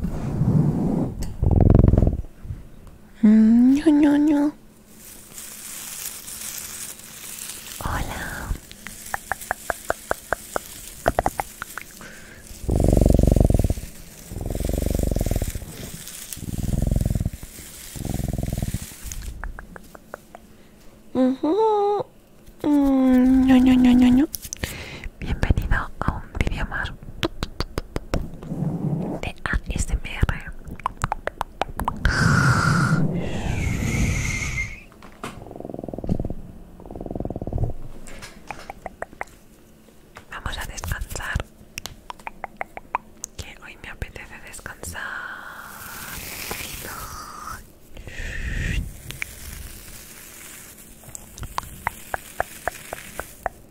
No, no, no. Hola. Mhm. mm, no, bienvenido a un vídeo más de ASMR Vamos a descansar que hoy me apetece descansar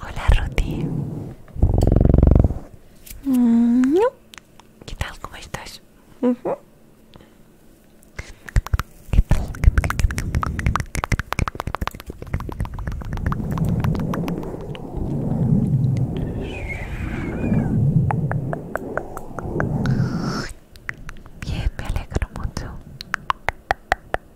Hola Ruti. Mm, ¿Qué tal? ¿Cómo estás? Bien, me alegro mucho.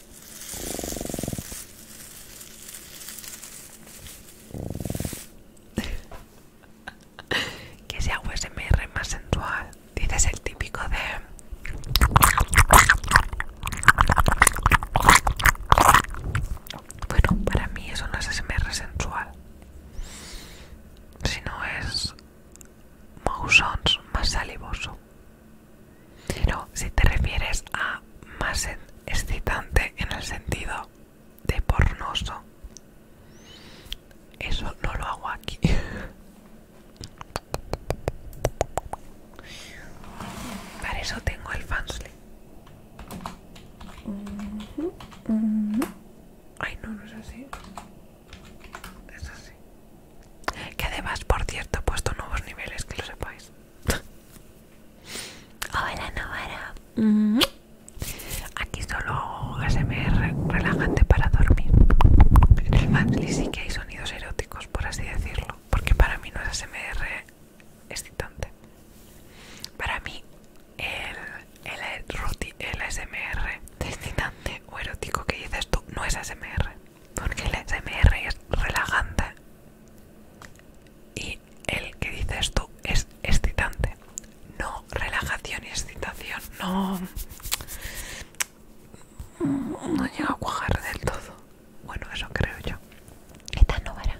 que sea SMR más sensual. Dices el típico de. Bueno, para mí eso no es SMR sensual. Sino es. Mousons más salivoso. Pero si te refieres a más excitante en el sentido de pornoso, eso no lo hago aquí. Para eso tengo el fansli Ay, no, no es así. Es así. Que además, por cierto, he puesto nuevos niveles, que lo sepáis. Hola, Novara. Mm-hmm. Aquí solo hago ASMR relajante para dormir. En el Manly sí que hay sonidos eróticos, por así decirlo, porque para mí no es ASMR excitante. Para mí, el, el, el, el excitante o erótico que dices tú no es ASMR porque el SMR es relajante y el que dices tú es excitante. No relajación y excitación, no. No llega a cuajar del todo. Bueno, eso creo yo. Esta no verá.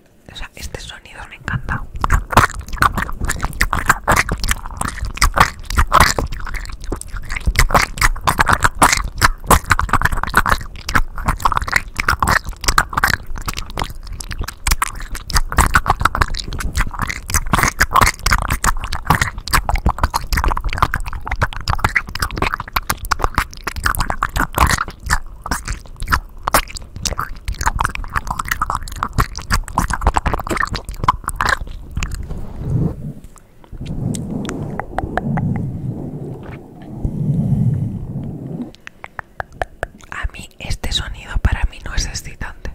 este sonido me encanta. A mí este sonido para mí no es excitante,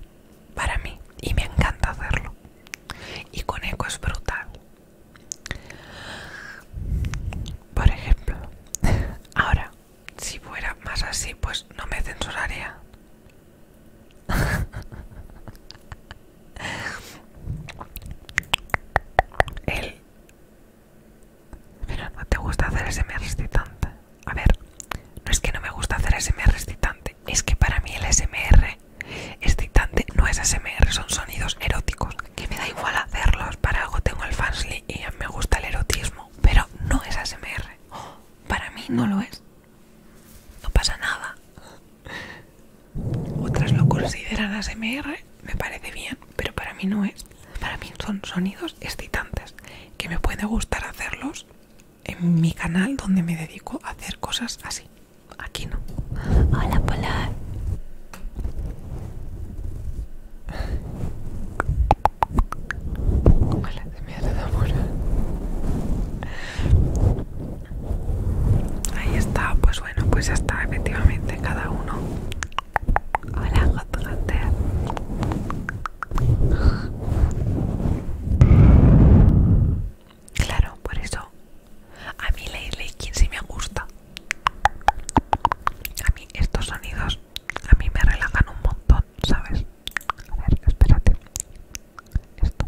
para mí, y me encanta hacerlo. Y con eco es brutal. Por ejemplo, ahora si fuera más así, pues no me censuraría. El... no te gusta hacer SMR excitante. A ver, no es que no me gusta hacer SMR excitante, es que para mí el SMR excitante no es SMR, son sonidos eróticos. Que me da igual hacerlos, para algo tengo el fansli y me gusta el erotismo pero no es ASMR. para mí no lo es. No pasa nada. Otras lo consideran ASMR, me parece bien, pero para mí no es. Para mí son sonidos excitantes, que me puede gustar hacerlos en mi canal donde me dedico a hacer cosas así. Aquí no. Hola, Polar. Ahí está, pues bueno, pues ya está efectivamente cada uno. Hola, Hot Claro, por eso. A mí Ley quien sí me gusta. A mí estos sonidos a mí me relajan un montón, ¿sabes? A ver, espérate. Esto.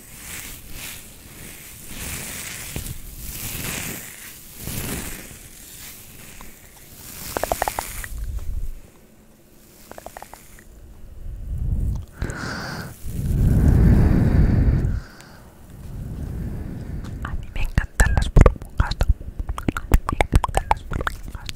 A mí me encantan las burbujas. Me encantan las burbujas.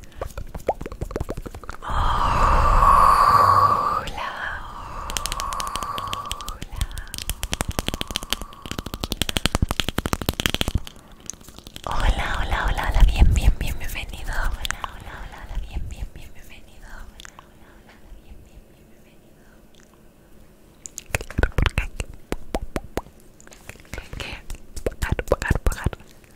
Hola, hola, hola, bien, bien, bienvenido. Hola, hola, bien, bien, bienvenido. Hola, hola, bien, bien, bienvenido.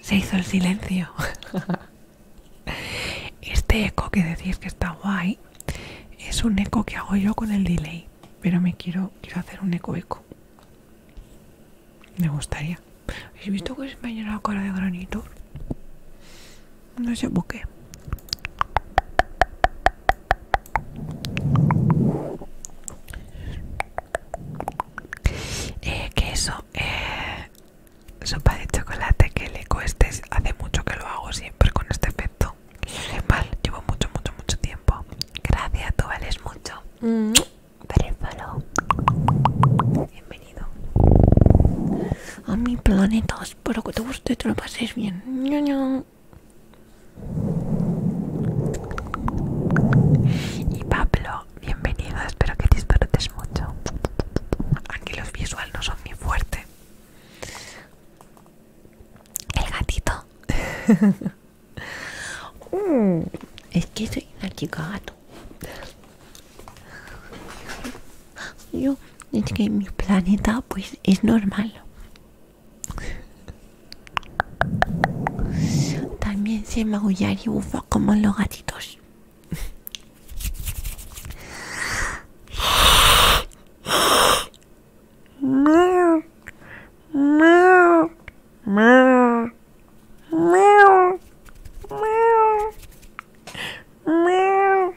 Se hizo el silencio. Este eco que decís que está guay es un eco que hago yo con el delay, pero me quiero quiero hacer un eco eco. Me gustaría. ¿Habéis visto que se me ha la cara de granito? no sé por qué eh, que eso eh, sopa de chocolate que le cueste hace mucho que lo hago siempre con este efecto mal llevo mucho mucho mucho tiempo gracias tú vales mucho mm. Bienvenido a mi planeta espero que te guste y te lo paséis bien. Y Pablo, bienvenido, espero que disfrutes mucho. Aquí los visual no son muy fuertes El gatito. Mm, es que soy una chica gato. Yo, es que mi planeta pues es normal. También se magullar y bufa como los gatitos.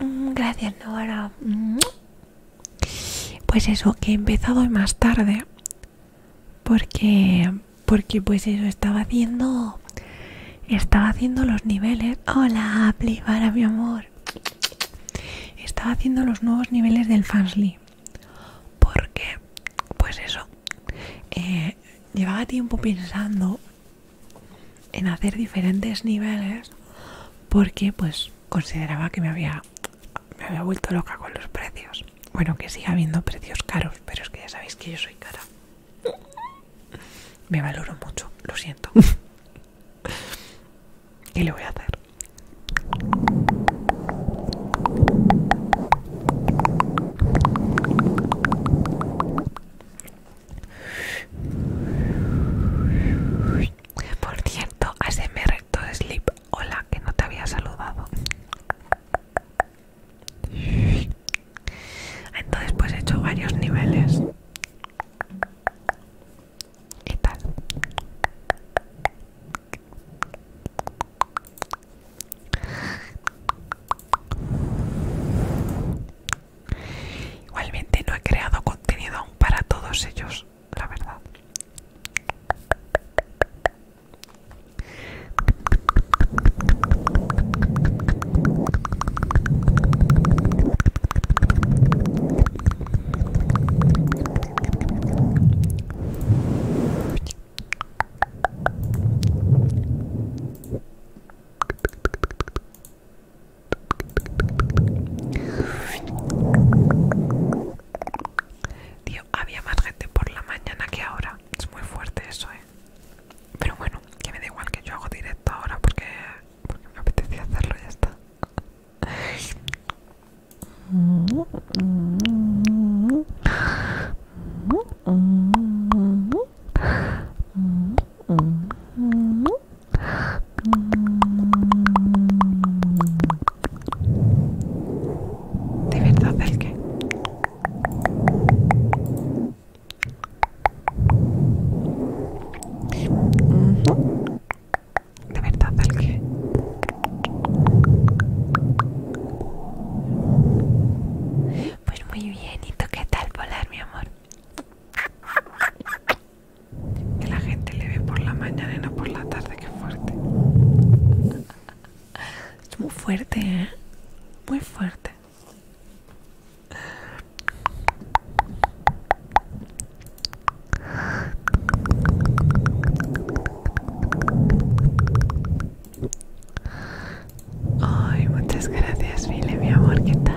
Mm, gracias, Nora. Mm. Pues eso, que he empezado más tarde. Porque, porque pues eso, estaba haciendo, estaba haciendo los niveles. Hola, Plivara, mi amor. Estaba haciendo los nuevos niveles del Fansly. Porque pues eso, eh, llevaba tiempo pensando en hacer diferentes niveles porque pues consideraba que me había, me había vuelto loca con los precios. Bueno, que siga habiendo precios caros, pero es que ya sabéis que yo soy cara. Me valoro mucho, lo siento. ¿Qué le voy a hacer? Por cierto, recto de Sleep. Hola, que no te había saludado. Entonces pues he hecho varios niveles. ¿Y tal? Igualmente no he creado contenido aún para todos ellos, la verdad. Tío, había más gente por la mañana que ahora. Es muy fuerte eso, eh. Pero bueno, que me da igual que yo hago directo ahora porque, me apetecía hacerlo y ya está. De verdad, el que de verdad, el que pues muy bien, ¿y qué tal volar, mi amor? Que la gente le ve por la mañana y no por la tarde, qué fuerte. Es muy fuerte, ¿eh? Muy fuerte. Ay, muchas gracias, Mile, mi amor, ¿qué tal?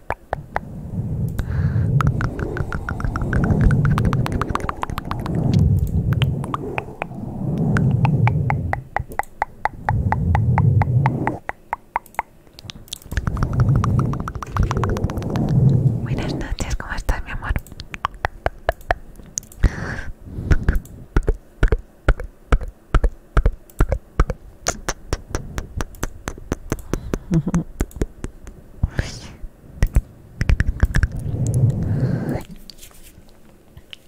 Buenas noches, ¿cómo estás, mi amor?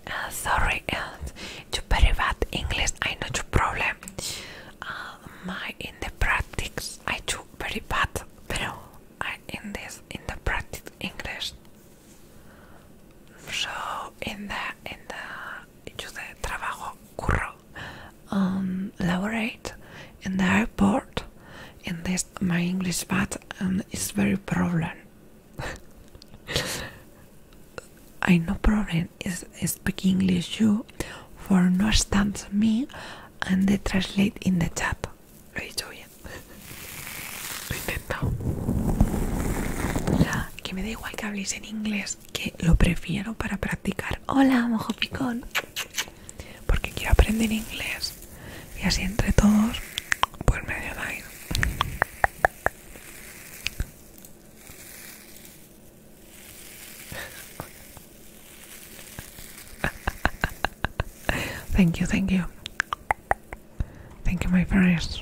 Uh, sorry, uh, to very bad English. I know your problem. Uh, my in the practice, I do very bad, pero I in this in the practice English. So in the in the yo de trabajo curro lower um, laureate in the airport in this my English but and it's very problem. I no problem is speaking English you for no understand me and they translate in the chat. Lo he dicho bien. Lo he intentado. Que me da igual que habléis en inglés, que lo prefiero para practicar. Hola, mojo picón. porque quiero aprender inglés y así entre todos pues me ayudáis thank you thank you thank you my friends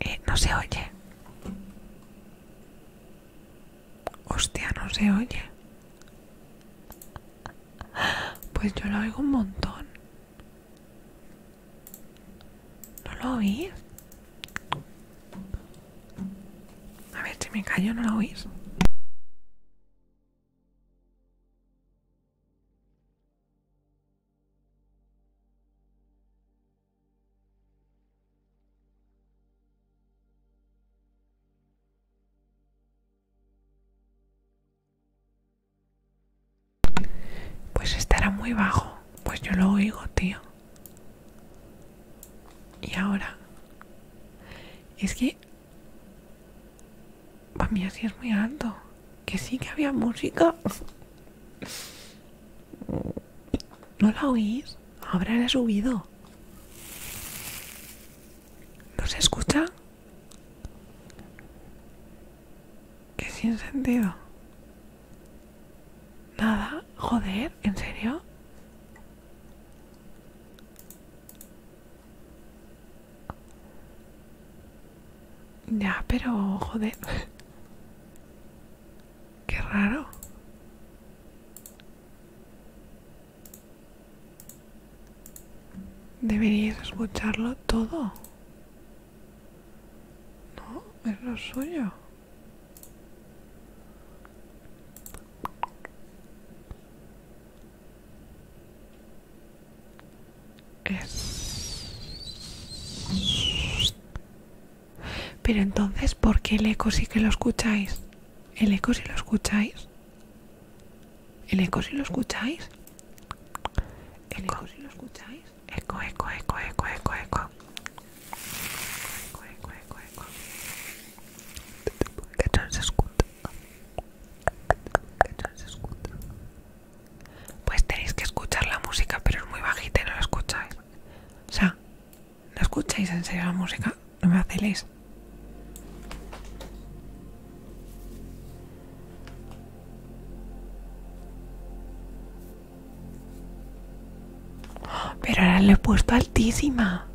Eh, no se oye. Hostia, no se oye. Pues yo lo oigo un montón. ¿No lo oís? A ver, si me callo, ¿no lo oís? Pues estará muy bajo. Pues yo lo oigo, tío. Y ahora. Es que. Para mí así es muy alto. Que sí que había música. ¿No la oís? Ahora subido. ¿No se escucha? Que sin sentido. Nada, joder, ¿en serio? Ya, pero joder. Qué raro. Deberíais escucharlo todo. No, es lo suyo. Pero entonces, ¿por qué el eco sí que lo escucháis? ¿El eco sí lo escucháis? ¿El eco sí lo escucháis? ¿El eco sí lo escucháis? Eco, eco, eco, eco, eco, eco. Eco, eco, eco, eco. Que no se escucha. Que no se escucha. Pues tenéis que escuchar la música, pero es muy bajita y no la escucháis. O sea, ¿no escucháis en la música? No me hacéis. Pero ahora le he puesto altísima.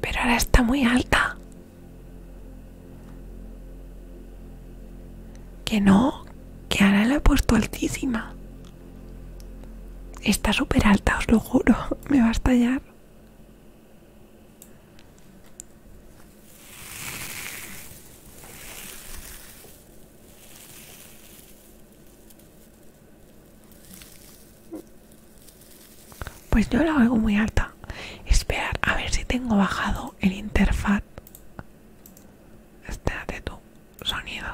Pero ahora está muy alta. Que no, que ahora la he puesto altísima. Está súper alta, os lo juro. Me va a estallar. Pues yo la hago muy alta. Esperar a ver si tengo bajado el interfaz Espérate tú. sonido.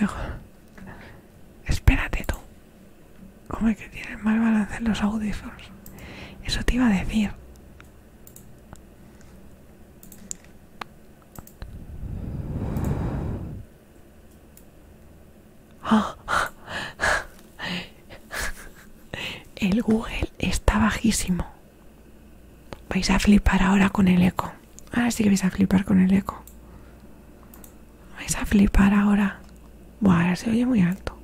Mejor. Espérate tú. ¿Cómo es que tienes mal balance en los audífonos? Eso te iba a decir. Ah. El Google está bajísimo. Vais a flipar ahora con el eco. Ahora sí que vais a flipar con el eco. Vais a flipar ahora. Buah, ahora se oye muy alto.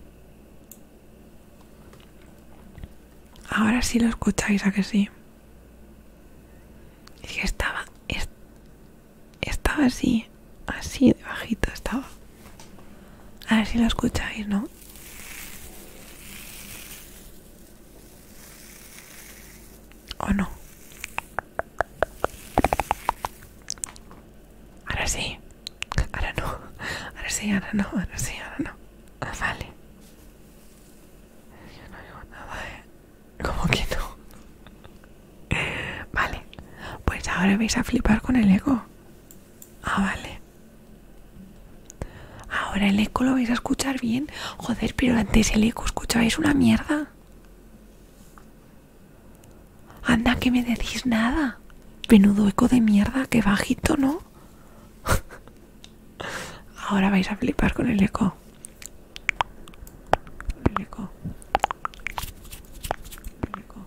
Ahora sí lo escucháis, a que sí. Es que estaba. estaba así. Así de bajito estaba. A ver si lo escucháis, ¿no? ¿O no? Ahora sí. Ahora no. Ahora sí, ahora no. Ahora sí, ahora no. vale. Yo no digo nada, ¿eh? Como que no. Vale. Pues ahora vais a flipar con el ego. Ah, vale. Ahora el eco lo vais a escuchar bien. Joder, pero antes el eco escuchabais una mierda. Anda, que me decís nada. Menudo eco de mierda, que bajito, ¿no? Ahora vais a flipar con el eco. El eco. El eco.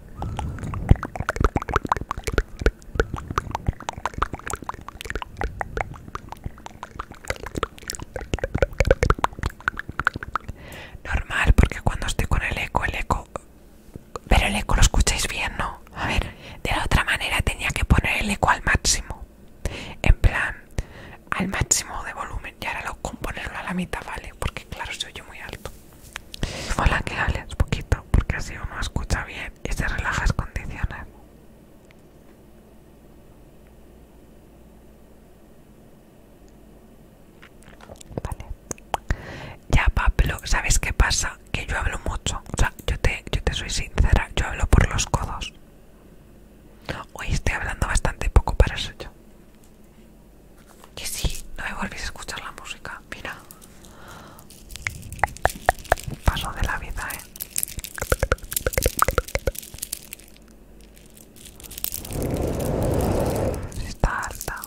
Normal, porque cuando estoy con el eco, el eco... Pero el eco lo escucháis bien, ¿no? A ver, de la otra manera tenía que poner el eco al máximo. En plan, al máximo de volumen. Y ahora lo componerlo a la mitad, ¿vale? Porque claro, se oye muy alto. Hola, que hables poquito, porque así uno escucha bien y se relajas condiciones. Vale. Ya, Pablo, ¿sabes qué pasa? Que yo hablo mucho. O sea, yo te, yo te soy sincera, yo hablo por los codos. Hoy estoy hablando bastante poco para eso yo. Y sí, no me volvéis a escuchar la música. Mira. Paso de la vida, eh. Está alta.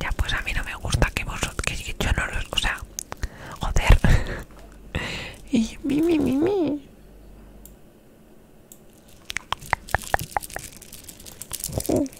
Ya pues a mí no me gusta que vosotros, que, yo no lo o sea, joder. y mi, mi, mi,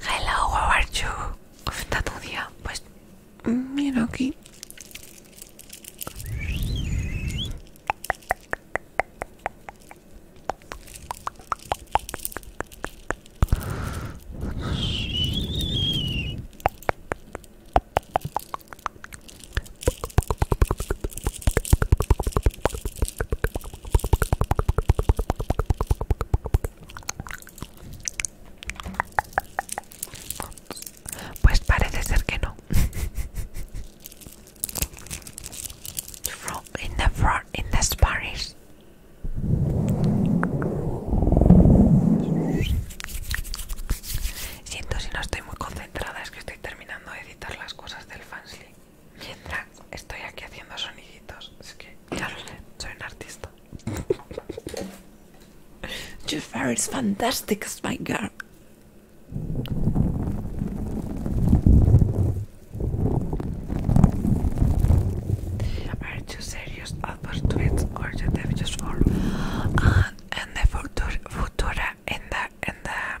Hello, how are you? ¿Cómo está tu día? Pues mira aquí. Pues parece ser que no. in the Siento si no estoy muy concentrada, es que estoy terminando de editar las cosas del fansly mientras estoy aquí haciendo soniditos. Es que, ya sé, soy un artista. Your hair is fantastic, my girl. Are you serious about tweets or you just for And, and the futura, futura the, in the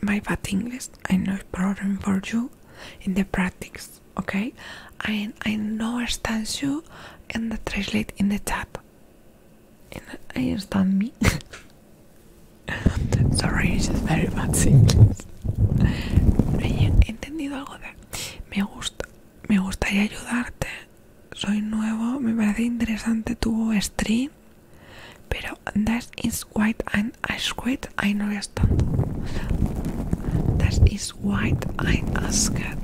my bad English. I no problem for you in the practice, okay? I I no understand you and the translate in the chat. And I understand me. Sorry, it's just very bad English. He entendido algo de. Me gusta, me gustaría ayudarte. Soy nuevo, me parece interesante tu stream. But that is white and I squid I know That is white I asked. I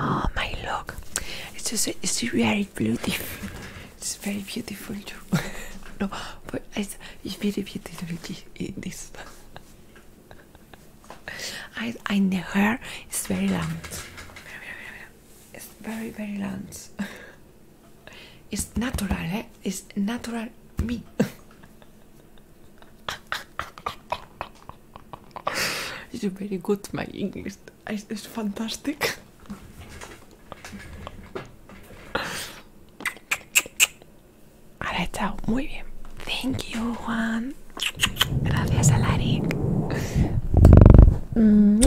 Oh my look! It's just it's very beautiful. It's very beautiful too. no, but it's, very beautiful in this. I I the hair is very long. It's very very long. it's natural, eh? It's natural me. You're very good, my English. It's fantastic. Ahora chao, muy bien. Thank you, Juan. Gracias, Alaric. Mm.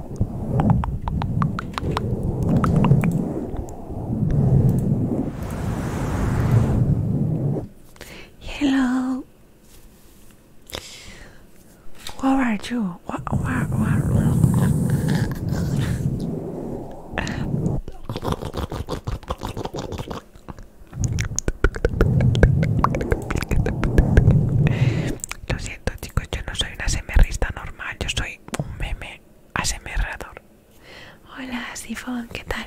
Hello. What are you? What, what, what? chicos, yo no soy una semerrista normal, yo soy un meme asemerrador. Hola, Sifón, ¿qué tal?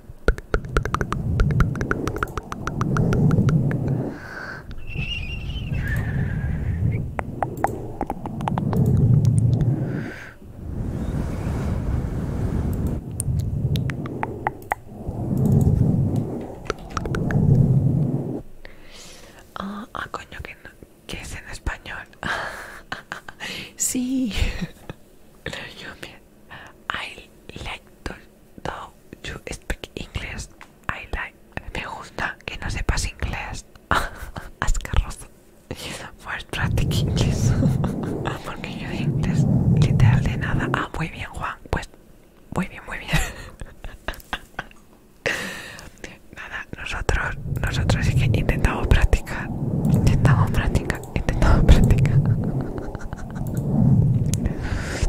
Ah, coño, que, es en español. sí. I like to you speak English. I like. Me gusta que no sepas inglés. Asqueroso First practice English. Porque yo de inglés literal de nada. Ah, muy bien, Juan. Pues muy bien, muy bien. Nada, nosotros, nosotros es que intentamos practicar, intentamos practicar, intentamos practicar.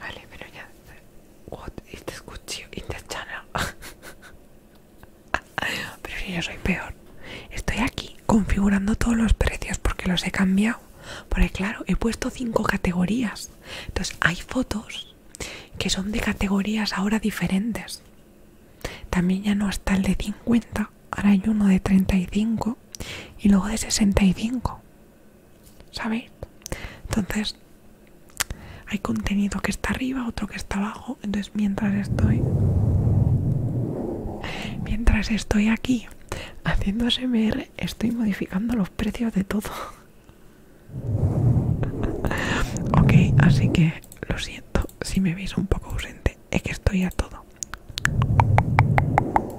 Vale, pero ya. What este this pero si yo soy peor. Estoy aquí configurando todos los precios porque los he cambiado. Porque claro, he puesto cinco categorías. Entonces hay fotos que son de categorías ahora diferentes. También ya no está el de 50, ahora hay uno de 35 y luego de 65. ¿Sabéis? Entonces, hay contenido que está arriba, otro que está abajo. Entonces, mientras estoy. Mientras estoy aquí haciendo SMR, estoy modificando los precios de todo. ok, así que lo siento si me veis un poco ausente. Es que estoy a todo.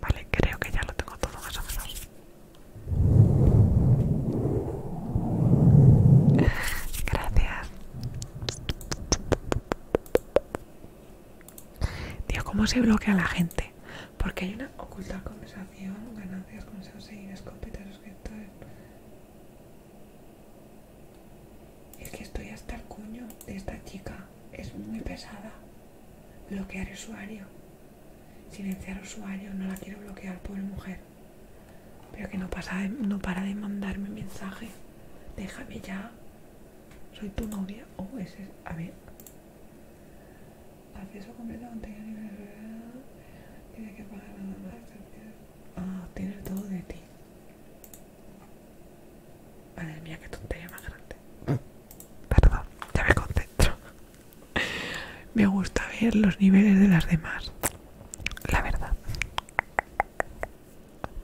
Vale, creo que ya lo tengo todo más o menos. Gracias. Tío, ¿cómo se bloquea la gente? Porque hay una oculta conversación, ganancias, consejos seguidas, que suscriptores. Es que estoy hasta el cuño de esta chica. Es muy pesada. Bloquear usuario. Silenciar usuario. No la quiero bloquear, pobre mujer. Pero que no, no para de mandarme mensaje. Déjame ya. Soy tu novia. Oh, ese es. A ver. Acceso completo a contenido Tiene que pagar nada más. Ah, tiene todo de ti. Madre mía, que tontería más grande. Perdón, ya me concentro. Me gusta ver los niveles de las demás. La verdad.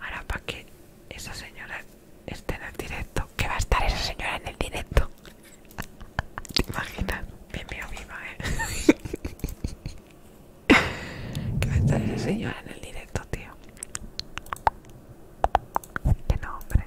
Ahora para que esa señora esté en el directo. ¿Qué va a estar esa señora en el directo. Imagina, imaginas? mío, viva, eh. ¿Qué va a estar esa señora en el directo, tío. Qué nombre.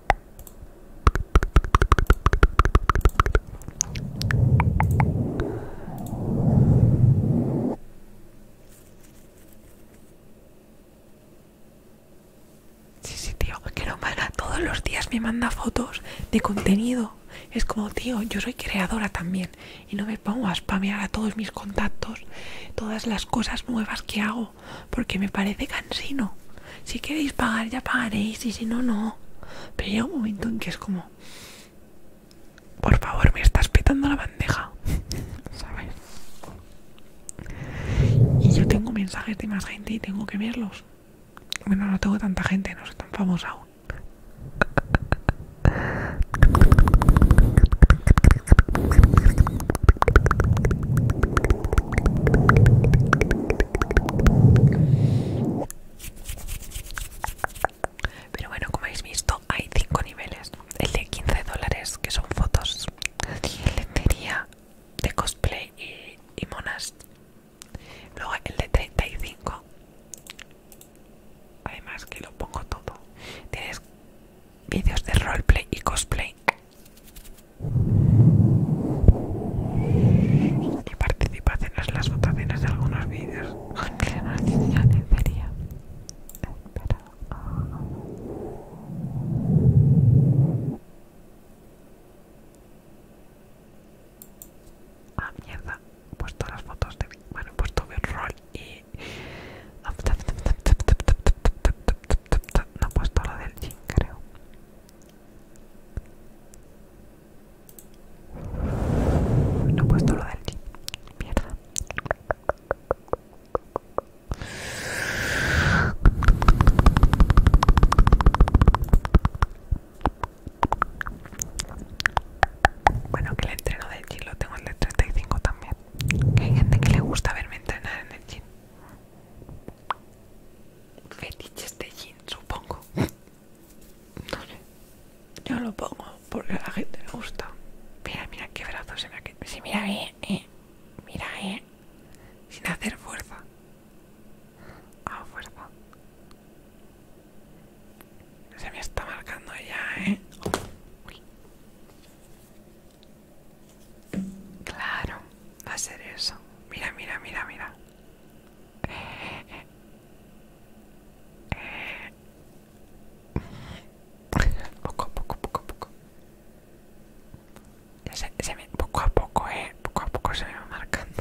Sí, sí, tío, que lo mala. Todos los días me manda fotos de contenido. Es como, tío, yo soy creadora también. Y no me pongo a spamear a todos mis contactos, todas las cosas nuevas que hago, porque me parece cansino. Si queréis pagar, ya pagaréis, y si no, no. Pero llega un momento en que es como, por favor, me estás petando la bandeja, ¿sabes? Y yo tengo mensajes de más gente y tengo que verlos. Bueno, no tengo tanta gente, no soy tan famosa aún. Pero bueno, como habéis visto, hay cinco niveles. El de 15 dólares, que son fotos de tería de cosplay y, y monas. Luego el de 35. Además que lo pongo todo. Tienes vídeos de roleplay y cosplay y participaciones en las votaciones de algunos vídeos Ya debería. sería espera ah mierda he puesto las fotos de bueno he puesto mi rol y no he puesto la del jean creo no he puesto lo del mierda. Bueno, que el entreno del gym lo tengo el de 35 también. hay gente que le gusta verme entrenar en el gym. Fetiches de gym supongo. Yo lo pongo porque a la gente le gusta. Mira, mira qué brazo se me ha quedado. mira, eh, eh. Mira, eh. Sin hacer fuerza. A ah, fuerza. Se me está marcando ya, eh. Claro, va a ser eso. Mira, mira, mira, mira. Poco a poco, poco a poco. Ya se, se poco a poco, eh. Poco a poco se me va marcando.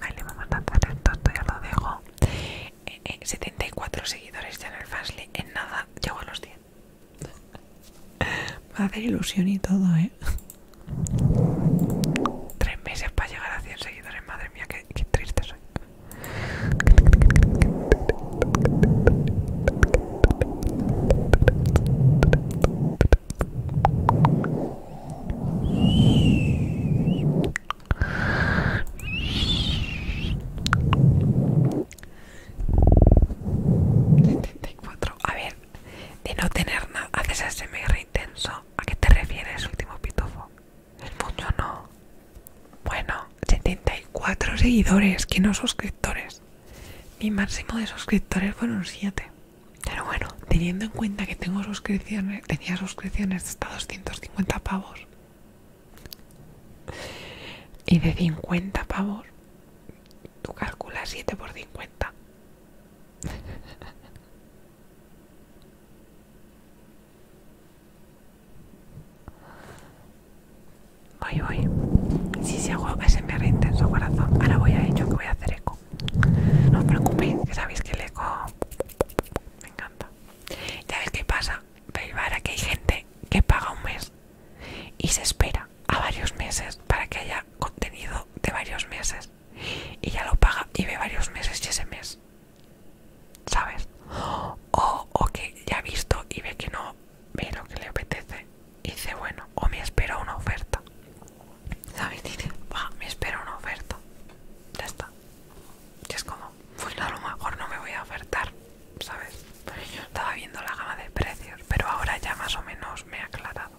Vale, vamos a hacer el esto ya lo dejo. 74 eh, eh, seguidores ya en el Fastlane, en nada, llego a los 10. va a hacer ilusión y todo, ¿eh? Tres meses para llegar a cien seguidores, madre mía, qué triste soy. 74. A ver, de no tener nada. Haces ASMR intenso. ¿A qué te refieres, último pitufo? El mucho, ¿no? Bueno, 74 seguidores, que no suscriptores. Mi máximo de suscriptores fueron 7. Pero bueno, teniendo en cuenta que tengo suscripciones, tenía suscripciones hasta 250 pavos. Y de 50 pavos Tú calculas 7 por 50. Voy, voy. Si se hago ese me intenso corazón. Ahora voy a ello que voy a hacer eco. No os preocupéis, que sabéis que el eco me encanta. Ya ves qué pasa. que hay gente que paga un mes y se espera a varios meses para que haya contenido de varios meses y ya lo paga y ve varios meses y ese mes sabes o, que ya ha visto y ve que no ve lo que le apetece y dice bueno o me espero una oferta sabes dice me espero una oferta ya está y es como pues a lo mejor no me voy a ofertar ¿sabes? yo estaba viendo la gama de precios, pero ahora ya más o menos me ha aclarado.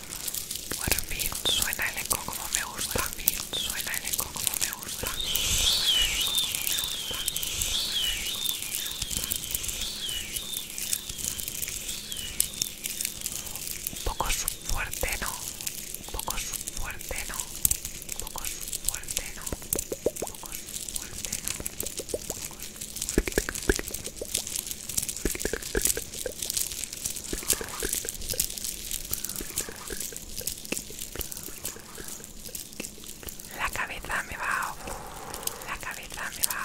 Bueno, suena el eco como me gusta. Por suena el eco como me gusta. Un poco fuerte, ¿no? Un poco fuerte, ¿no? Un poco fuerte, ¿no? Un poco fuerte, ¿no? Un poco fuerte, la cabeza me va. La cabeza me va. La cabeza me va.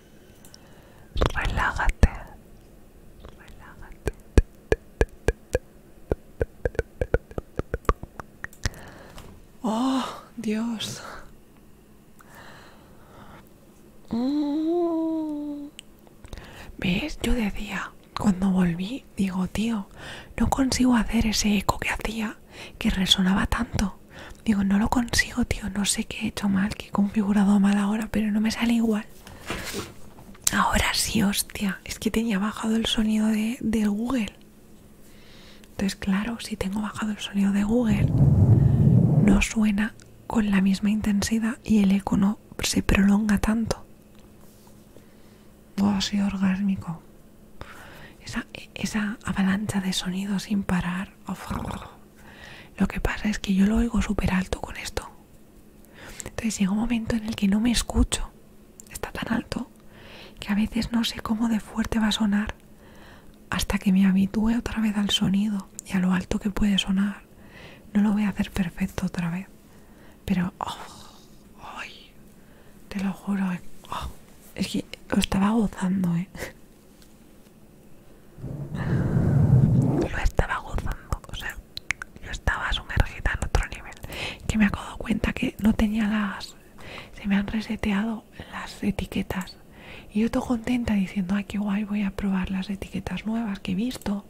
Relágate, relágate. Oh, Dios. ¿Ves? Yo decía, cuando volví, digo, tío, no consigo hacer ese eco que hacía que resonaba tanto. Digo, no lo consigo, tío, no sé qué he hecho mal, Que he configurado mal ahora, pero no me sale igual. Ahora sí, hostia, es que tenía bajado el sonido de, Google. Entonces, claro, si tengo bajado el sonido de Google, no suena con la misma intensidad y el eco no se prolonga tanto. Oh, sí, orgásmico. E, esa, avalancha de sonido sin parar. Oh, lo que pasa es que yo lo oigo súper alto con esto. Entonces llega un momento en el que no me escucho. Está tan alto que a veces no sé cómo de fuerte va a sonar hasta que me habitúe otra vez al sonido y a lo alto que puede sonar. No lo voy a hacer perfecto otra vez. Pero, oh, te lo juro, eh, oh, es que lo estaba gozando, eh lo estaba gozando, o sea, yo estaba sumergida en otro nivel. Que me he dado cuenta que no tenía las. Se me han reseteado las etiquetas. Y yo estoy contenta diciendo, ay, qué guay, voy a probar las etiquetas nuevas que he visto.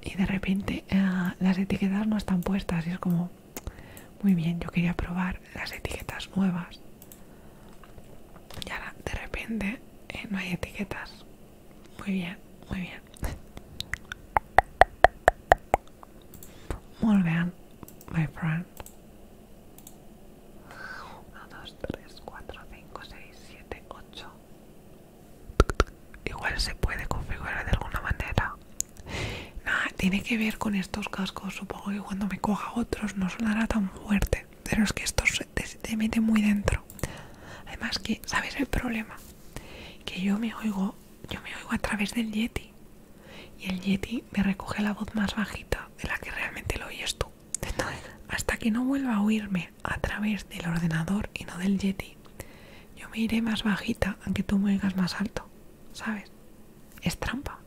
Y de repente eh, las etiquetas no están puestas. Y es como, muy bien, yo quería probar las etiquetas nuevas. Y ahora de repente eh, no hay etiquetas. Muy bien, muy bien. Muy bien, my friend. 1, 2, 3, 4, 5, 6, 7, 8. Igual se puede configurar de alguna manera. Nada, tiene que ver con estos cascos. Supongo que cuando me coja otros no sonará tan fuerte pero es que esto te, mete muy dentro. Además que, ¿sabes el problema? Que yo me oigo, yo me oigo a través del Yeti. Y el Yeti me recoge la voz más bajita de la que realmente lo oyes tú. hasta que no vuelva a oírme a través del ordenador y no del Yeti, yo me iré más bajita, aunque tú me oigas más alto, ¿sabes? Es trampa.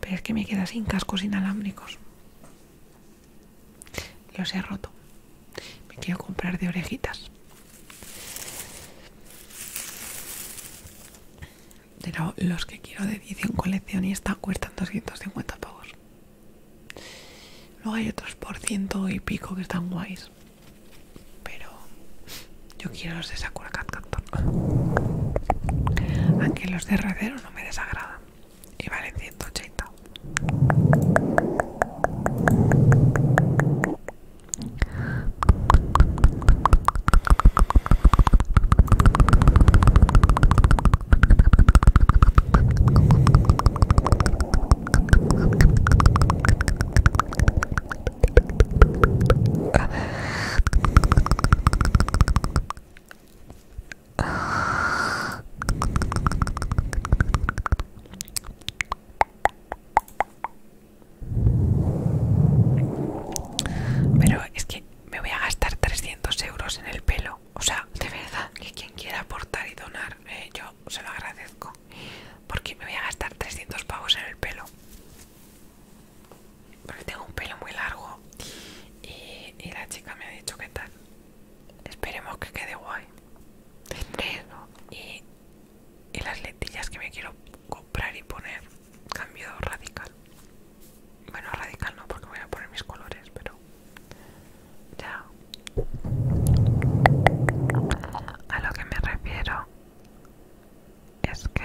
Pero es que me queda sin cascos inalámbricos. Los he roto. Me quiero comprar de orejitas. Pero los que quiero de Y están cuestan 250 pavos. Luego hay otros por ciento y pico que están guays. Pero yo quiero los de Sakura Cat Aunque los de Razer no me desagrada y vale 180 pero es que me voy a gastar 300 euros en el pelo. O sea, de verdad, que quien quiera aportar y donar, eh, yo se lo agradezco. Porque me voy a gastar 300 pavos en el pelo porque tengo un pelo muy largo y, la chica me ha dicho que tal. Esperemos que quede guay. y, y las lentillas que me quiero comprar y poner. Cambio radical. Bueno, radical no, porque voy a poner mis colores, pero. Ya. A lo que me refiero es que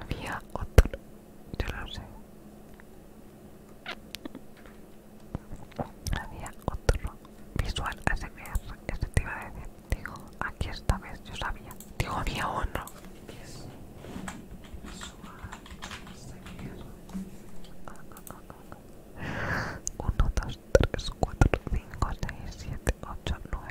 Había otro, yo lo sé. Había otro Visual SBR que se te iba a decir. Digo, aquí esta vez yo sabía. Digo, había otro. Visual SBR: 1, 2, 3, 4, 5, 6, 7, 8, 9.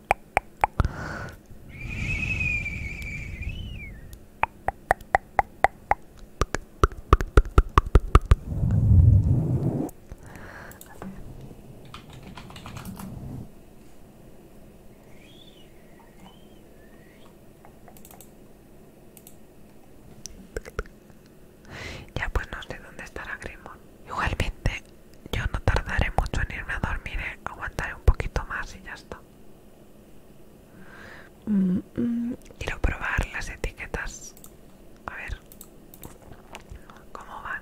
Ya pues no sé dónde estará Grimo. Igualmente yo no tardaré mucho en irme a dormir, ¿eh? aguantaré un poquito más y ya está. Mm, mm, quiero probar las etiquetas. A ver cómo van.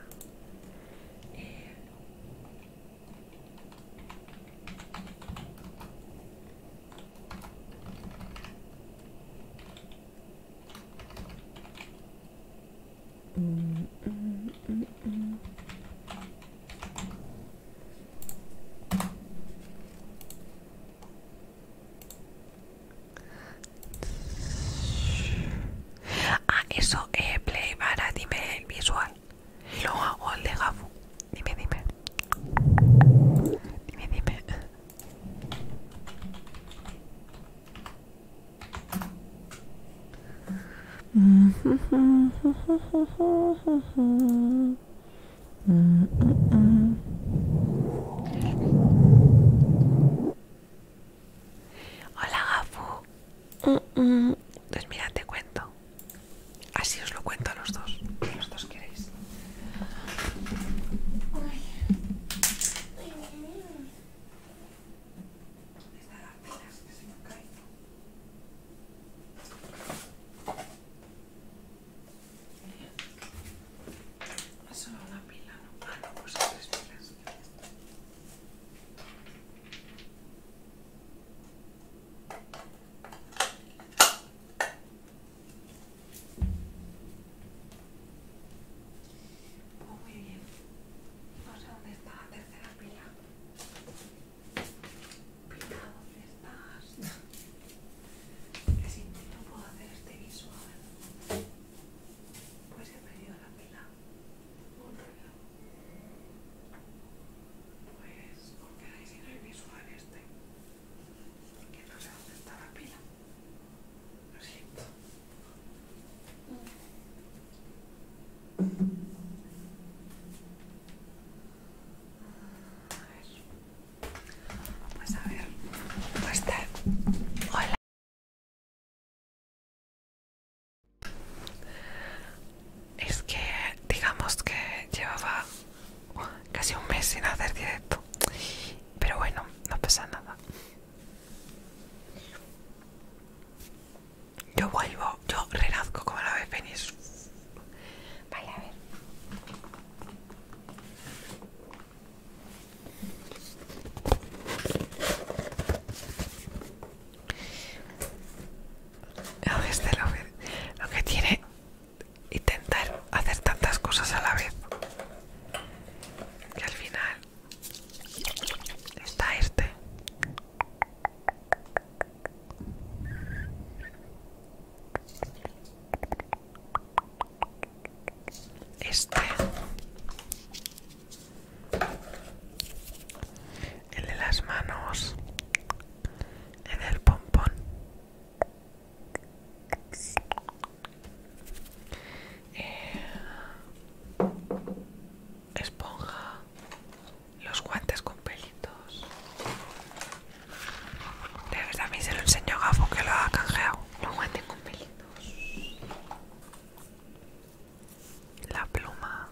Ah, eso, es eh, Play, para, dime el visual. Lo hago el de Gafu. Dime, dime. Dime, dime. Hola Gafu. Pues mira, te cuento. Así os lo cuento a los dos. los dos queréis. Esta pilas que se me cae. No solo una pila, no, ah, no, pues tres pilas. muy bien. No sé dónde está la tercera pila. Pila, ¿dónde estás? Que si no, puedo hacer este visual. Pues he perdido la pila. Un reloj. Pues hay quedáis sin el visual este. Porque no sé dónde está la pila. Lo siento vamos pues a ver, pues Hola. Es que digamos que llevaba casi un mes sin hacer directo. Pero bueno, no pasa nada. Yo vuelvo, yo renazco como la vez venís Vale, a ver. este lo, lo que tiene intentar hacer tantas cosas a la vez que al final está este este, el de las manos, el del pompón, eh, esponja, los guantes con pelitos. De verdad, a mí se lo enseño a Gafo que lo ha canjeado. Los guantes con pelitos. La pluma.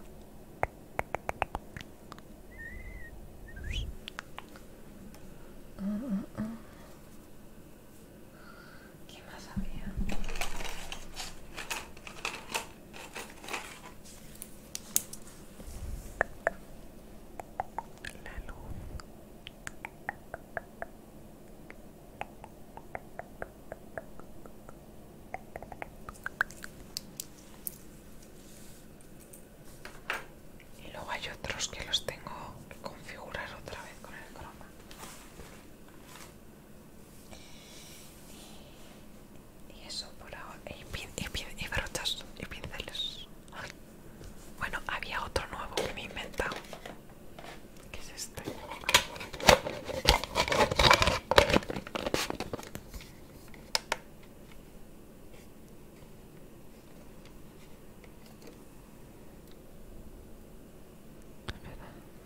¿Qué más había? la luz y luego hay otros que los tengo que configurar otra vez con el croma y, eso por ahora. Y, pin, y, pin, y y pinceles. Bueno, había otro nuevo que me he inventado. ¿Qué es este?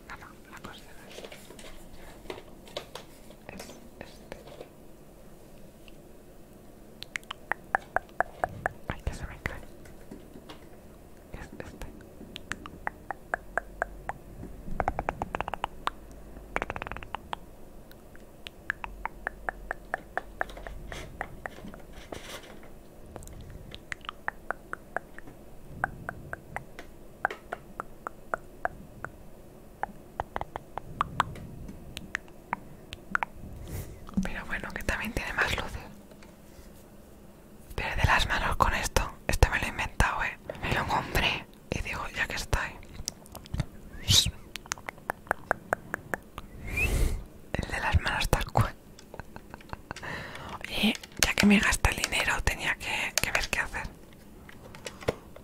Nada la cuestión es, este ay que se me cae es este pero bueno, que también tiene más luces. ¿eh? Pero de las manos con esto. este me lo he inventado, eh. Me lo compré y digo, ya que estoy. El de las manos tal cual. y ya que me gasta el dinero, tenía que ver qué hacer.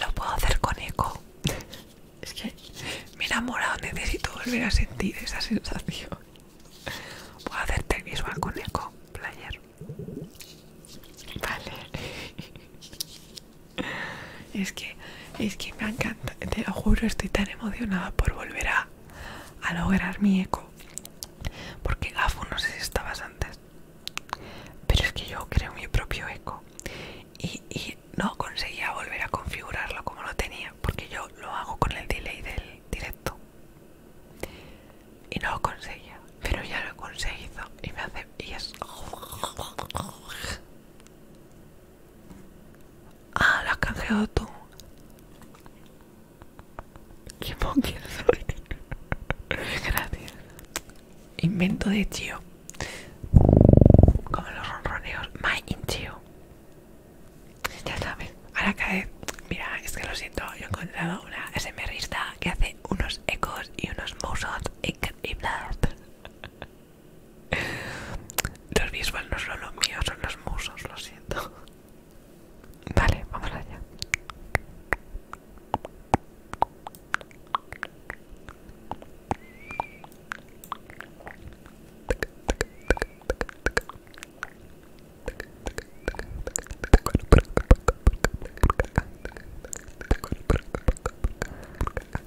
Lo puedo hacer con eco. Es que me he enamorado, necesito volver a sentir esa sensación. Puedo hacerte visual con eco, player. Vale. Es que, es que me encanta, te lo juro, estoy tan emocionada por volver a, lograr mi eco. Porque Gafu no sé si estabas antes. Pero es que yo creo mi propio eco. Y, y no conseguía volver a configurarlo como lo tenía. Porque yo lo hago con el delay del directo. Y no lo conseguía. Pero ya lo he conseguido. Y me hace. Y es. Ah, lo has canjeado tú. Qué monquia soy. Gracias. Invento de tío. Como los ronroneos. My tío. Ya sabes. Ahora cae. Mira, es que lo siento. Yo he encontrado una SMRista que hace unos ecos y unos Y increíbles. Los visuales no son los míos, son los musos, lo siento. Vale, vamos allá.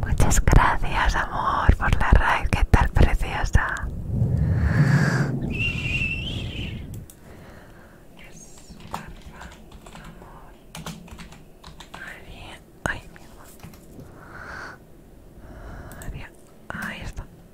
Muchas gracias, amor, por la raíz, ¿Qué tal, preciosa? amor. ahí está.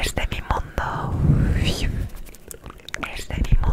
Es de mi mundo. Es de mi mundo. Es de mi mundo.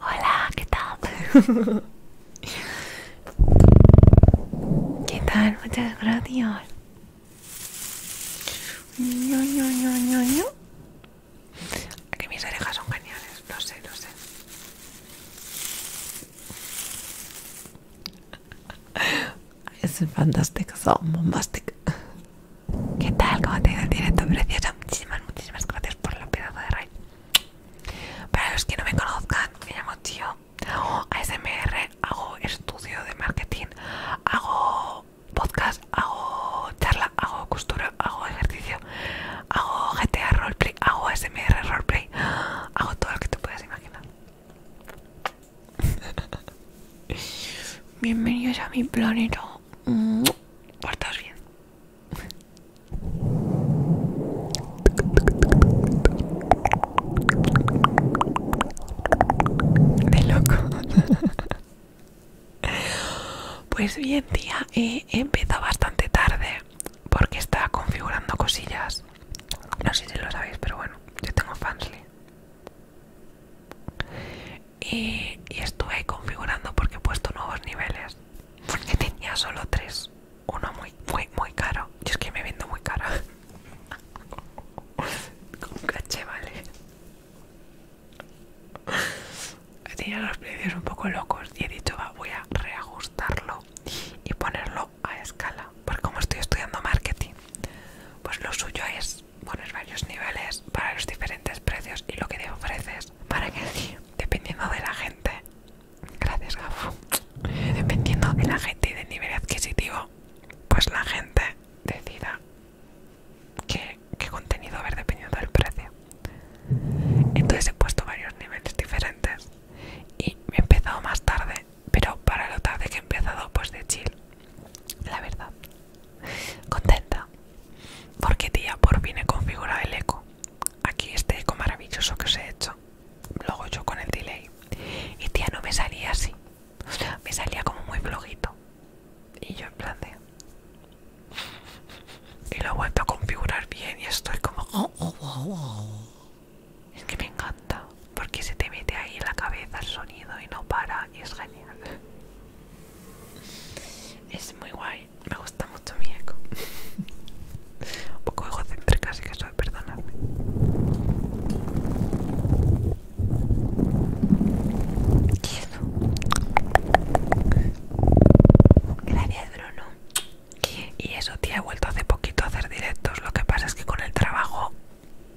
Hola, ¿qué tal? ¿Qué tal? Muchas gracias. Aquí mis orejas son geniales, lo sé, no sé. Es fantástico, son bombastic. ¿Qué tal? ¿Cómo te va? ido directo, preciosa? Muchísimas, muchísimas gracias por la pedazo de raid. Para los que no me conozcan, me llamo Tío. Hago ASMR, hago estudio de marketing, hago podcast, hago charla, hago costura, hago ejercicio, hago GTA roleplay, hago ASMR roleplay, hago todo lo que te puedas imaginar. Bienvenidos a mi planeta. Portaos bien. De loco. Pues bien, día he empezado bastante tarde porque estaba configurando cosillas. No sé si lo sabéis, pero bueno, yo tengo fansly. Y, y estuve configurando porque he puesto nuevos niveles. Porque tenía solo tres uno muy, muy, muy caro. Yo es que me vendo muy cara. Con caché, vale. Tenía los precios un poco locos y he dicho, va, voy a reajustarlo y ponerlo a escala. por como estoy estudiando marketing, pues lo suyo es poner varios niveles para los diferentes precios y lo que te ofreces. Para que dependiendo de la gente, Gracias, Gafu. Dependiendo de la gente y del nivel adquisitivo, pues la gente decida qué, contenido ver dependiendo del precio. Entonces he puesto varios niveles diferentes y he empezado más tarde, pero para lo tarde que he empezado, pues de chill. La verdad, contenta. Porque tía, por viene he configurado el eco aquí este eco maravilloso que os he hecho Luego yo con el delay y tía no me salía así me salía como muy flojito y yo en plan de y lo he vuelto a configurar bien y estoy como oh, oh, oh, es que me encanta porque se te mete ahí en la cabeza el sonido y no para y es genial es muy guay me gusta mucho mi eco. Un poco egocéntrica Así que soy, perdonadme. ¿Y eso? Gracias, Bruno. Y eso, tía, he vuelto hace poquito a hacer directos. Lo que pasa es que con el trabajo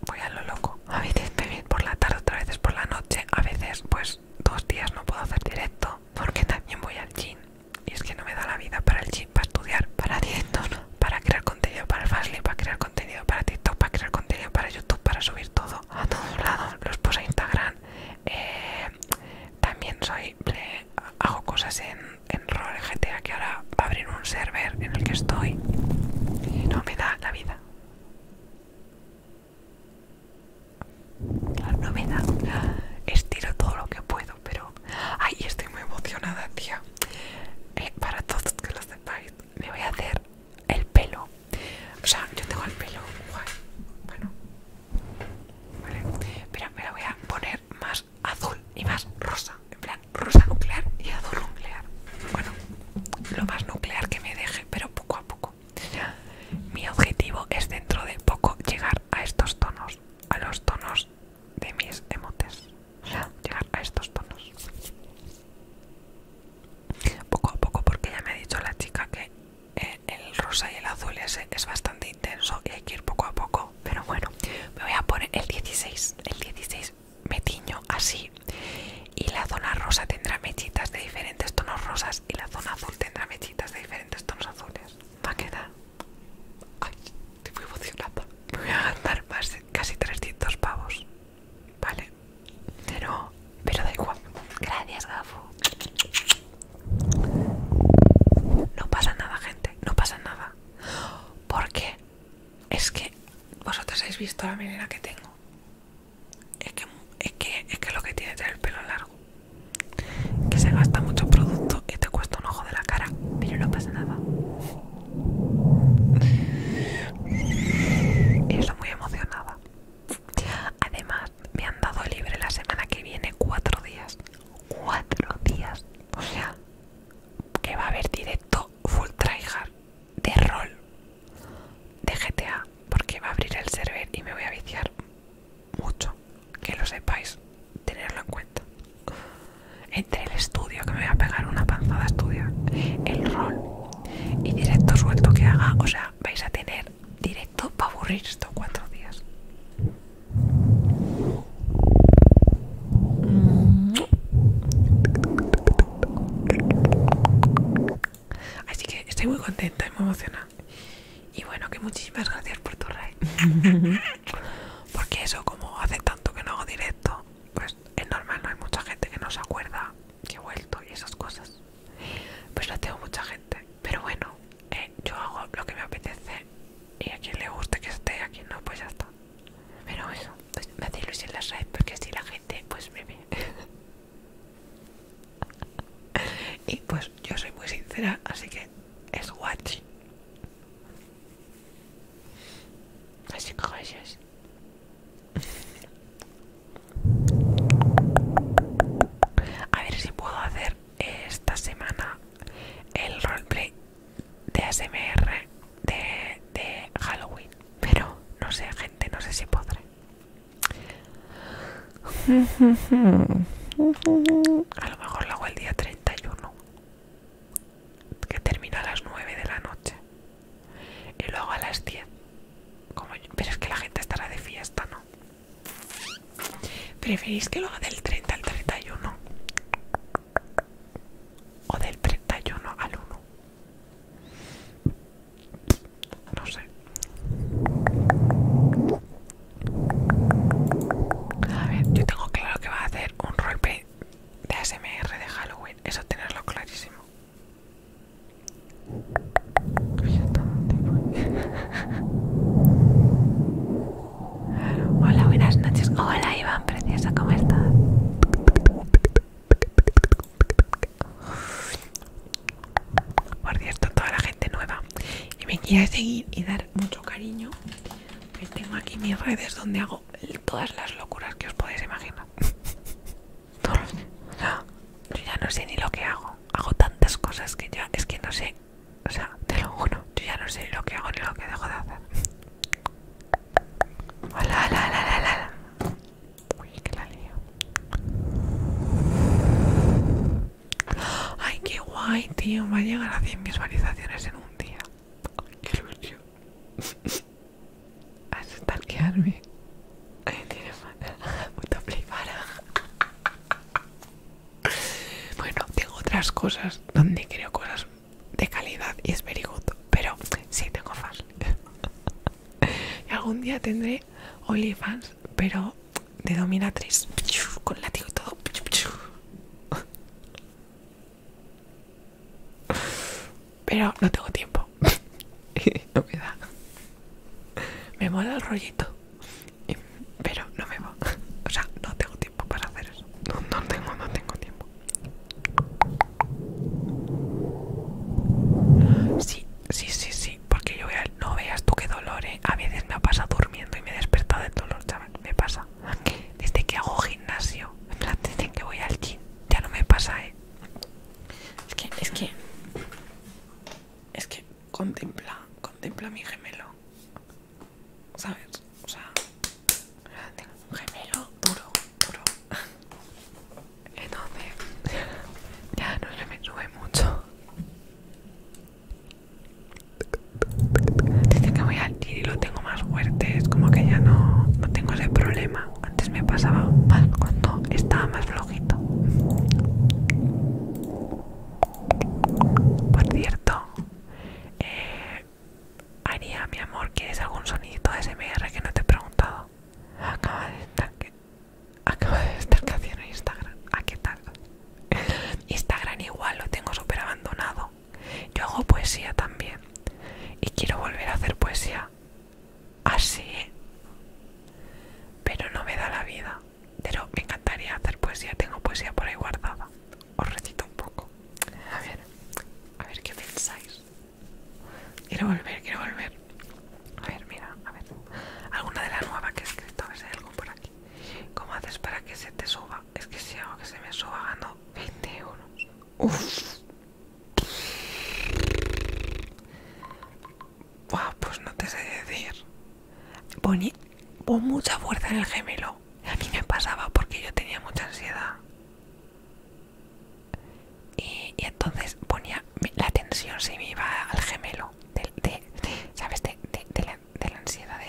voy a lo loco. A veces voy por la tarde, otras veces por la noche. A veces, pues, dos días no puedo hacer directo porque también voy al gym. Y es que no me da la vida para el chip, para estudiar, para directos, para crear contenido para Fastly, para crear contenido para TikTok, para crear contenido para YouTube, para subir todo a todos lados. Los posts a Instagram. Eh, también soy hago cosas en, en Roll GTA que ahora va un server en el que estoy. Y no me da la vida no me da. Estiro todo lo que puedo, pero. Ay, estoy muy emocionada, tía. Eh, para todos que lo sepáis, me voy a hacer el pelo. O sea, yo tengo el pelo Bueno. Vale. me lo voy a poner más azul y más rosa. En plan, rosa nuclear y azul nuclear. Bueno, lo más nuclear que me deje, pero poco a poco. Mi objetivo es dentro de poco llegar a estos tonos a los tonos de mis emotes. Llegar a estos tonos. Poco a poco, porque ya me ha dicho la chica que eh, el rosa y el azul es bastante intenso y hay que ir poco a poco. Pero bueno, me voy a poner el 16. El 16 me tiño así. Y la zona rosa tendrá mechitas de diferentes tonos rosas y la zona azul tendrá mechitas de diferentes tonos azules. Va a quedar Ay, estoy muy emocionada. Me voy a gastar más de casi 300 pavos. Vale. Pero, pero da igual. Gracias, Gafu No pasa nada, gente. No pasa nada. Porque es que vosotros habéis visto la manera que tengo. Es que, es que, lo que tiene es el pelo largo que se gasta mucho producto y te cuesta un ojo de la cara, pero no pasa nada. Es estoy muy emocionada. Además, me han dado libre la semana que viene cuatro días. Cuatro días. O sea, que va a haber directo full tryhard de rol de GTA. Porque va a abrir el server y me voy a viciar mucho que lo sepáis tenerlo en cuenta entre el estudio que me voy a pegar una panzada estudio el rol y directo suelto que haga o sea vais a tener directo para aburrir estos cuatro días así que estoy muy contenta y muy emocionada y bueno, que muchísimas gracias por tu rey. Porque eso, como hace tanto que no hago directo, pues es normal, no hay mucha gente que nos acuerda que he vuelto y esas cosas. Pues no tengo mucha gente. Pero bueno, eh, yo hago lo que me apetece y a quien le guste que esté, a quien no, pues ya está. Pero eso, pues me hace ilusión las redes porque si la gente, pues me ve. y pues yo soy muy sincera, así que es guachi. Así A ver si puedo hacer esta semana el roleplay de ASMR de, de Halloween. Pero no sé, gente, no sé si podré. A lo mejor lo hago el día 31 que termina a las 9 de la noche y luego a las 10 como pero es que la gente estará de fiesta no preferís que lo haga del 30 al 31 o del 31 al 1 no sé a ver, yo tengo claro que va a hacer un roleplay de ASMR de Halloween, eso tenerlo clarísimo. Hola, buenas noches. Hola, Iván, preciosa, ¿cómo estás? Por cierto, toda la gente nueva. Y me quiero seguir y dar mucho cariño. Y pues tengo aquí mis redes donde hago todas las locuras que os podéis imaginar yo ya no sé ni lo que hago hago tantas cosas que ya es que no sé o sea te lo juro yo ya no sé ni lo que hago ni lo que dejo de hacer hola uy que la ay qué guay tío va a llegar a 100 visualizaciones en un día. qué que arme, tiene puta para Bueno, tengo otras cosas donde creo cosas de calidad y es very good, pero sí tengo fans. y algún día tendré OnlyFans, pero de dominatriz, con látigo y todo. Pero no tengo tiempo. no me da. Me mola el rollito. Pero no me va. O sea, no tengo tiempo para hacer eso. No, no tengo, no tengo tiempo. Sí, sí, sí, sí. Porque yo voy No veas tú qué dolor, ¿eh? A veces me ha pasado durmiendo y me he despertado del dolor, chaval. Me pasa desde que hago gimnasio, en plan, desde que voy al gym, ya no me pasa, ¿eh? Es que, es que, es que contempla, contempla a mi gemelo, ¿sabes? O sea, tengo un gemelo duro, duro. Entonces, ya no se me sube mucho. Dice que voy al y lo tengo más fuerte, es como que ya no, no tengo ese problema. Antes me pasaba más cuando estaba más flojito. Por cierto, eh, Aria, mi amor, ¿quieres algún de SMR que no te he preguntado? Acaba de estar, acaba de estar haciendo Instagram. ¿A ah, qué tal? Instagram igual lo tengo súper abandonado. Yo hago poesía también. Y quiero volver a hacer poesía así. Pero no me da la vida. Pero me encantaría hacer poesía. Tengo poesía por ahí guardada. Os recito un poco. A ver, a ver qué pensáis. Quiero volver, quiero volver. A ver, mira, a ver. Alguna de las nuevas que he escrito, a ver si hay algo por aquí. ¿Cómo haces para que se te suba? es que si hago que se me suba ganando 20 euros. Uff. pues no te sé decir. Ponía mucha fuerza en el gemelo. A mí me pasaba porque yo tenía mucha ansiedad. Y, entonces ponía la tensión si me iba al gemelo. del ¿Sabes? De, de, de de la ansiedad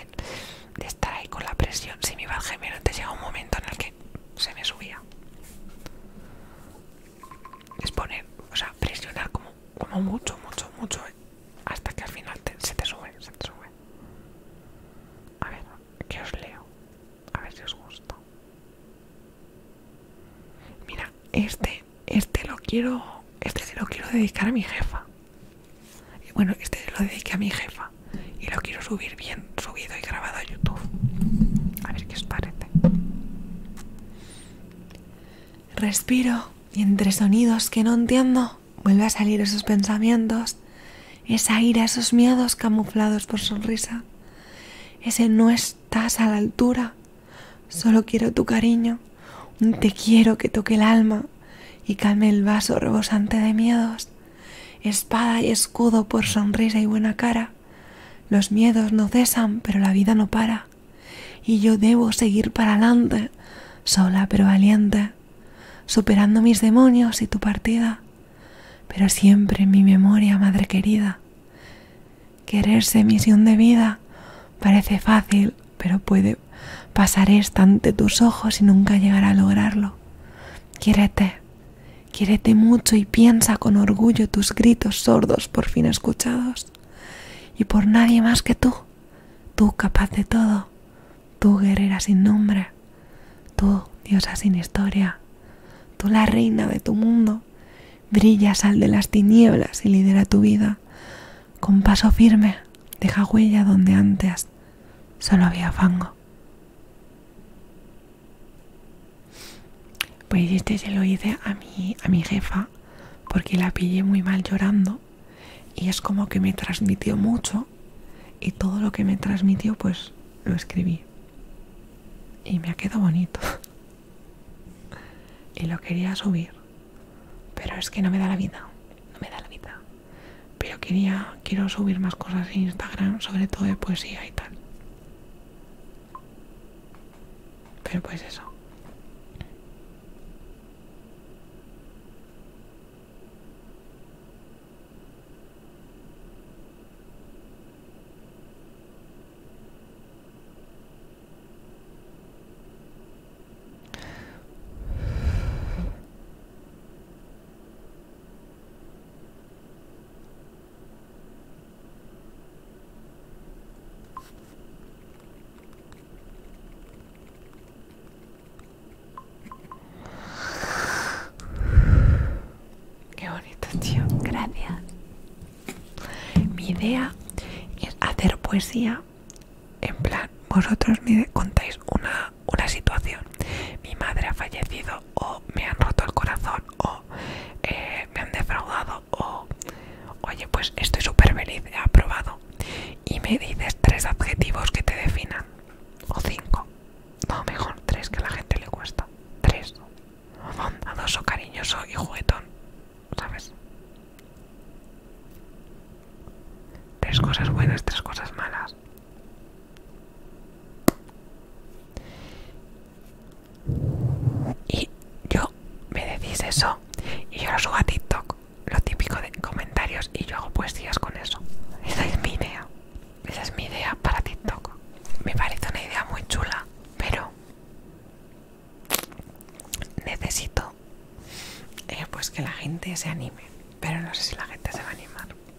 de, estar ahí con la presión. Si me iba al gemelo, te llega un momento en el que se me subía. Es poner, o sea, presionar como, como mucho, mucho, mucho, ¿eh? hasta que al final se te sube, se te sube. A ver, que os leo. A ver si os gusta. Mira, este, este lo quiero, este lo quiero dedicar a mi jefa. Y Bueno, este lo dediqué a mi jefa y lo quiero subir bien, subido y grabado a YouTube. A ver qué os parece. Respiro y entre sonidos que no entiendo vuelve a salir esos pensamientos, esa ira, esos miedos camuflados por sonrisa. Ese no estás a la altura, solo quiero tu cariño, un te quiero que toque el alma y calme el vaso rebosante de miedos. Espada y escudo por sonrisa y buena cara. Los miedos no cesan, pero la vida no para. Y yo debo seguir para adelante, sola pero valiente, superando mis demonios y tu partida. Pero siempre mi memoria, madre querida. Quererse misión de vida parece fácil, pero puede pasar esta ante tus ojos y nunca llegar a lograrlo. Quiérete, quiérete mucho y piensa con orgullo tus gritos sordos por fin escuchados. Y por nadie más que tú, tú capaz de todo, tú guerrera sin nombre, tú diosa sin historia, tú la reina de tu mundo, brillas al de las tinieblas y lidera tu vida. Con paso firme, deja huella donde antes solo había fango. Pues este se lo hice a mi, a mi jefa porque la pillé muy mal llorando y es como que me transmitió mucho y todo lo que me transmitió pues lo escribí y me ha quedado bonito y lo quería subir pero es que no me da la vida no me da la vida. Pero quería, quiero subir más cosas en Instagram, sobre todo de poesía y tal. Pero pues eso. Qué bonito, tío. Gracias. Mi idea es hacer poesía. En plan, vosotros me contáis una una situación. Mi madre ha fallecido o me han roto el corazón o eh, me han defraudado o oye pues estoy súper feliz, he aprobado. Y me dices tres adjetivos que te definan. O cinco. No, mejor tres que a la gente le cuesta. Tres. Bondadoso, cariñoso y juguetón. ¿Sabes? Tres cosas buenas, tres cosas malas. Y yo me decís eso y yo lo subo a TikTok, lo típico de comentarios, y yo hago poesías con eso. Esa es mi idea. Esa es mi idea para TikTok. Me parece una idea muy chula, pero necesito eh, pues que la gente se anime. Pero no sé si la gente se va a animar.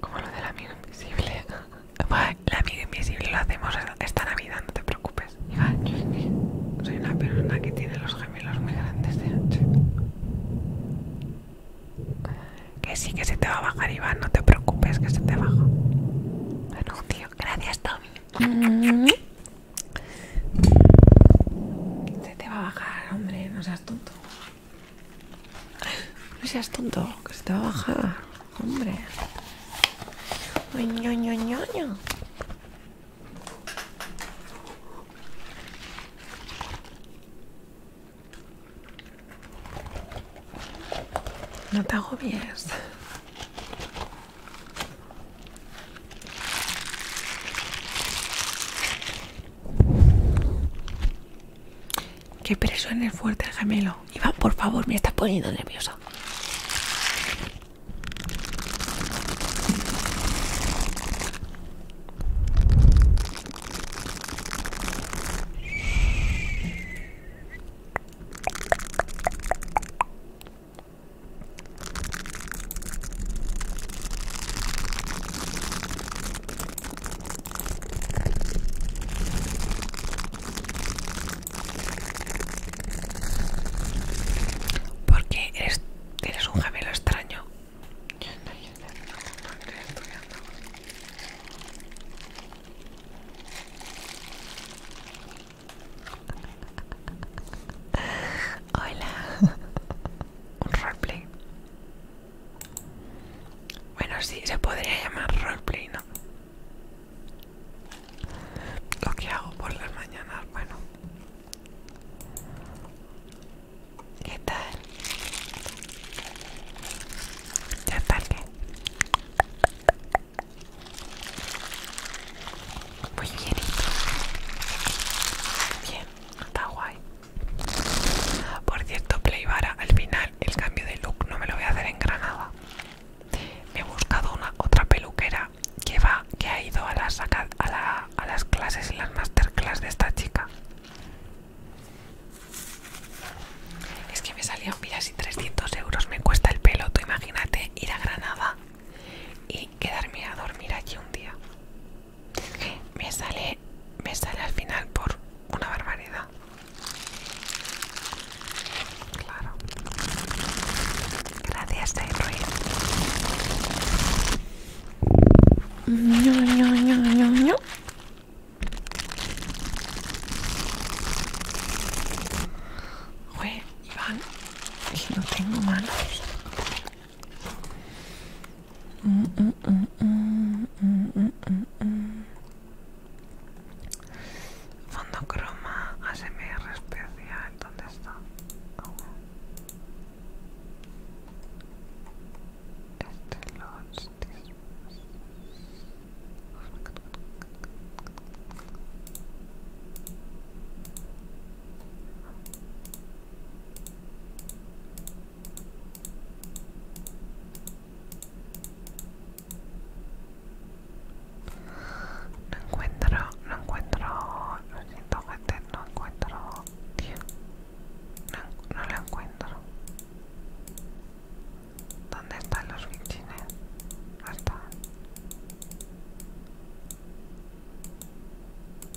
Como lo del amigo invisible. invisible. La amigo invisible lo hacemos esta Navidad, no te preocupes. Soy una persona que tiene los gemelos muy grandes de Que sí, que se te va a bajar, Iván, no te preocupes, que se te baja. Anuncio gracias, Tommy. Mm. Se te va a bajar, hombre, no seas tonto. No seas tonto, que se te va a bajar, hombre. No te agobies. Qué presión el fuerte el gemelo. Iván, por favor, me está poniendo nerviosa. Porque eres, eres un gemelo extraño. Hola. Un roleplay. Bueno, sí, se podría llamar roleplay, ¿no? Lo que hago por las mañanas, bueno. ¿Qué tal? ¿Ya está qué? Muy bien Bien, está guay. Por cierto, Playbara, al final el cambio de look no me lo voy a hacer en Granada. Me he buscado una otra peluquera que va, que ha ido a las, a, las clases y las masterclass de esta chica. Es que me salían, mira, si 300 euros me cuesta el pelo, tú imagínate ir a Granada y quedarme a dormir allí un día. Me sale, me sale al final por una barbaridad. Claro. Gracias, Day Ruiz. No, no, no, no, no. Iván, no tengo manos. Mm, mm, mm, mm, mm, mm, mm. Fondo croma ASMR especial, ¿dónde está? Oh. Este los No encuentro, no encuentro, lo siento no encuentro, tío, no, lo encuentro. ¿Dónde están los bichines? Ahí están.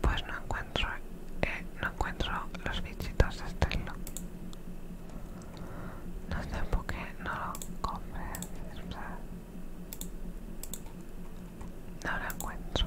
Pues no encuentro, eh, no encuentro los bichitos de este No sé por qué no lo sea. no lo encuentro.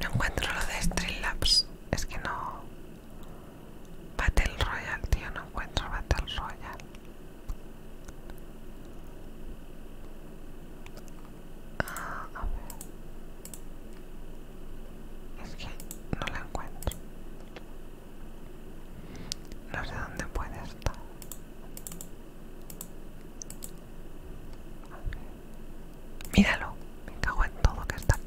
No encuentro lo de Streamlabs. Es que no. Battle Royale, tío. No encuentro Battle Royale. Ah, es que no la encuentro. No sé dónde puede estar. Míralo, me cago en todo que está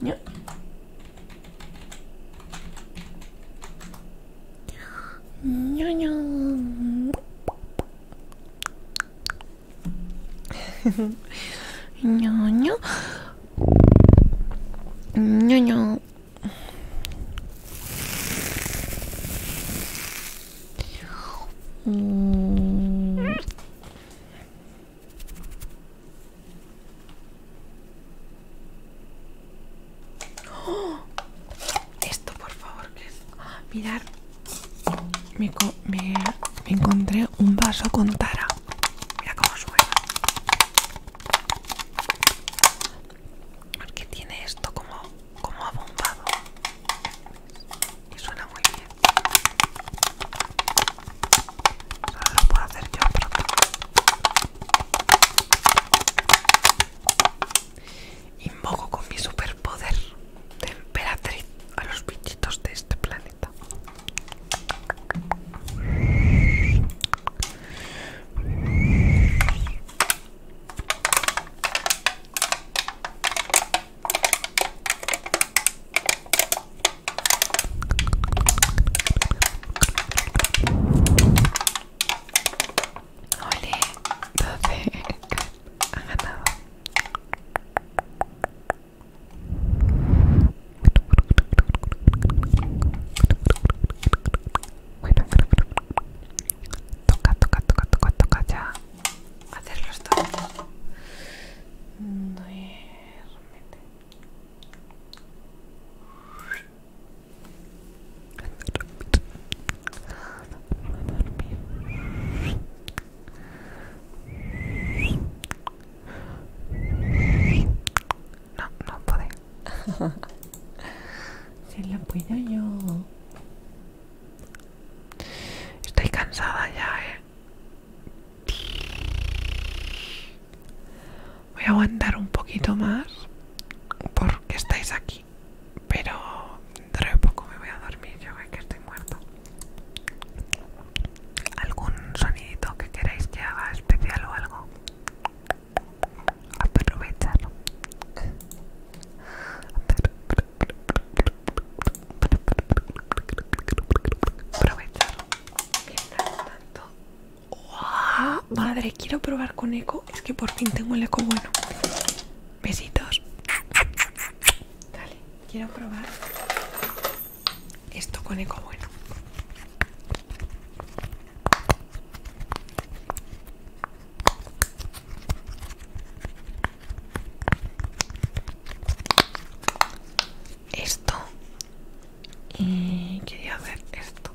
牛。牛牛。牛牛。牛牛。嗯。¡Oh! Esto, por favor, que ah, mirad, me, encontré un vaso con tara. Mira cómo suena. Porque tiene esto como, como abombado. Y suena muy bien. Solo lo puedo hacer yo pronto. Invoco con mi superpoder de emperatriz a los bichitos de este planeta. Ole, 12 toca, toca, toca, toca, toca ya hacer los dos. No, no puede. si la puedo yo. Estoy cansada ya, eh. Voy a aguantar un poquito más porque estáis aquí, pero dentro de poco me voy a dormir, yo que estoy muerta ¿Algún sonidito que queráis que haga especial o algo? Aprovecharlo. Aprovechar. Mientras tanto, Ah, madre, quiero probar con eco. Es que por fin tengo el eco bueno. Besitos. Dale, quiero probar esto con eco bueno. Esto y quería hacer esto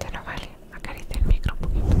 ya no vale, acaricia el micro un poquito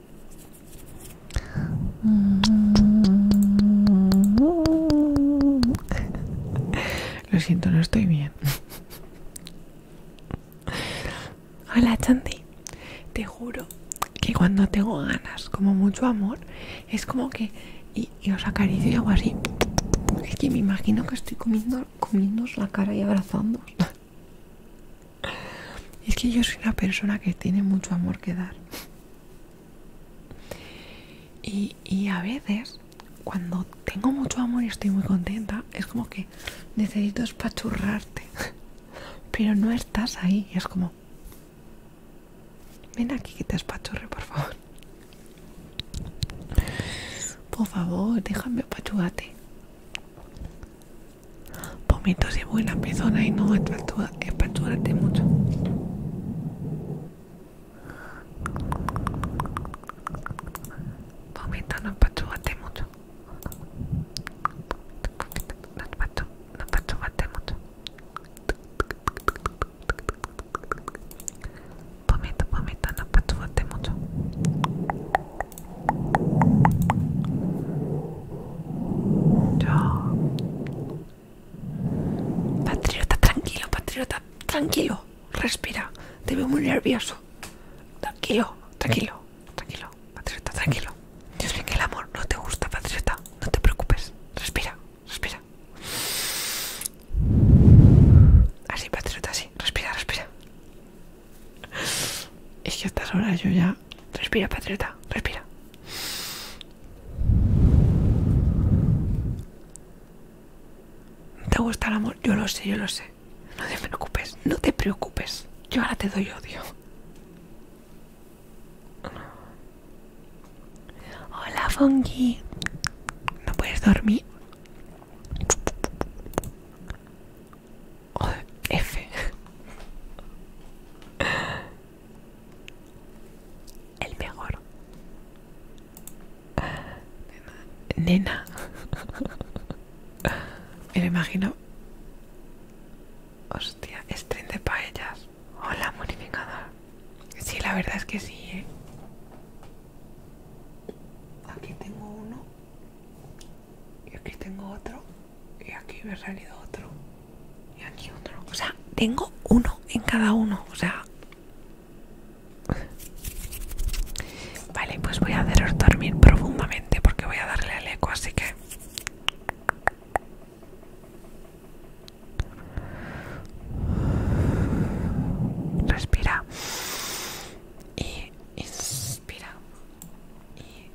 Mm. Lo siento, no estoy bien. Hola, Chanti. Te juro que cuando tengo ganas, como mucho amor, es como que. Y, os acaricio y hago así. Es que me imagino que estoy comiendo, la cara y abrazándoos. Es que yo soy una persona que tiene mucho amor que dar. Y, a veces, cuando tengo mucho amor y estoy muy contenta, es como que necesito espachurrarte. Pero no estás ahí, es como... Ven aquí que te espachurre, por favor. Por favor, déjame apachugarte. Vómitos y buena persona y no es espatúrate mucho. Pomita no espatúrate mucho. No espatúrate mucho. Pomita vómito, no espatúrate mucho. Patriota, tranquilo, patriota, tranquilo. Respira. Te veo muy nervioso. Tranquilo, tranquilo, tranquilo, patriota, tranquilo. Dios mío, que el amor no te gusta, patriota. No te preocupes. Respira, respira. Así, patriota, así. Respira, respira. Es que a estas horas yo ya Respira, patriota, respira. ¿Te gusta el amor? Yo lo sé, yo lo sé. No te preocupes, no te preocupes. Yo ahora te doy odio. Hola, Funky. ¿No puedes dormir? F. El mejor. Nena. Me imagino. Hostia, tren de paellas. Hola, modificador. Sí, la verdad es que sí, ¿eh? Aquí tengo uno. Y aquí tengo otro y aquí me ha salido otro y aquí otro o sea tengo uno en cada uno o sea vale pues voy a hacer dormir profundamente porque voy a darle al eco así que respira y inspira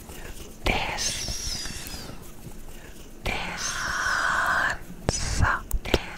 This this answer. This answer.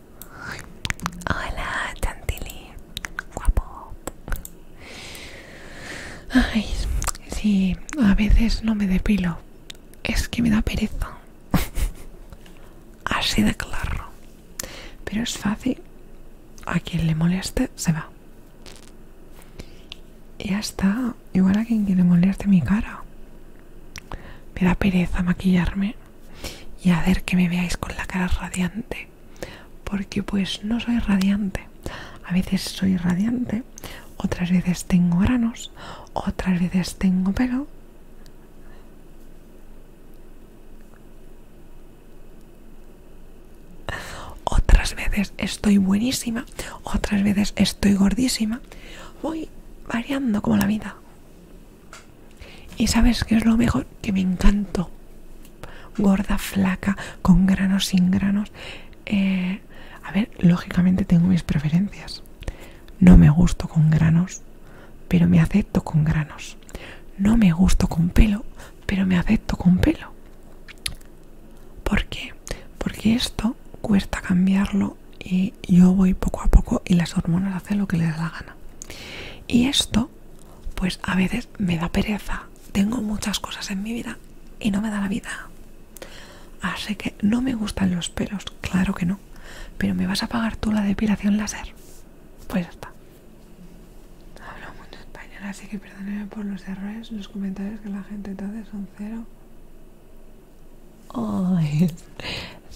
Hola, Chantilly. Guapo. Ay, sí, a veces no me depilo. Es que me da pereza. Así de claro. Pero es fácil. A quien le moleste, se va. Ya está. Igual a quien le moleste mi cara. Me da pereza maquillarme y hacer que me veáis con la cara radiante porque pues no soy radiante a veces soy radiante otras veces tengo granos otras veces tengo pelo otras veces estoy buenísima otras veces estoy gordísima voy variando como la vida y sabes qué es lo mejor que me encanto Gorda, flaca, con granos, sin granos. Eh, a ver, lógicamente tengo mis preferencias. No me gusto con granos, pero me acepto con granos. No me gusto con pelo, pero me acepto con pelo. Porque, Porque esto cuesta cambiarlo y yo voy poco a poco y las hormonas hacen lo que les da la gana. Y esto pues a veces me da pereza. Tengo muchas cosas en mi vida y no me da la vida. Así que no me gustan los pelos, claro que no. Pero me vas a pagar tú la depilación láser. Pues está. Hablo mucho español, así que perdóneme por los errores. Los comentarios que la gente te hace son cero. Oh,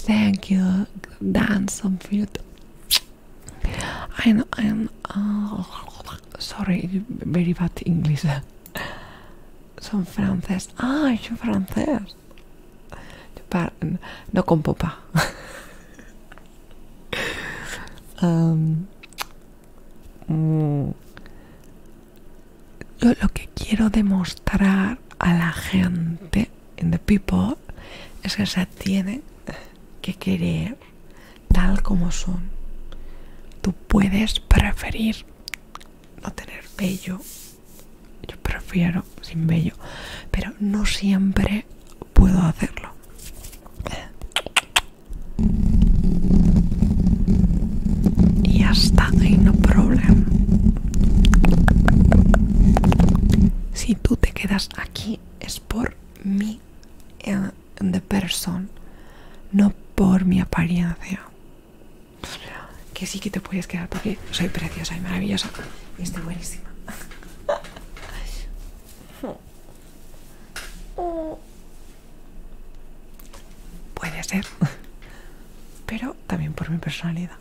thank you, dance on I'm, uh, sorry, very bad English. Son francés. Ah, yo francés. No con popa. Um, mm. lo que quiero demostrar a la gente en the people es que se tiene que querer tal como son. Tú puedes preferir no tener vello. Yo prefiero sin vello, pero no siempre puedo hacerlo. Y hasta ahí no problema. Si tú te quedas aquí es por me eh, de persona no por mi apariencia. Que sí que te puedes quedar porque soy preciosa y maravillosa. Y estoy buenísima. Puede ser. Pero también por mi personalidad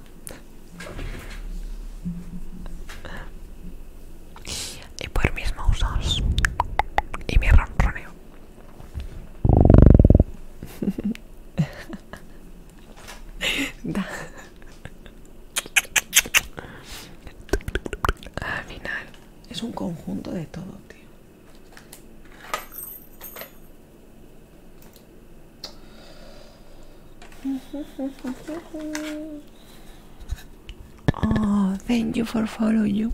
y por mis mousos y mi ronroneo. Al final es un conjunto de todo, tío. Oh, thank you for following you.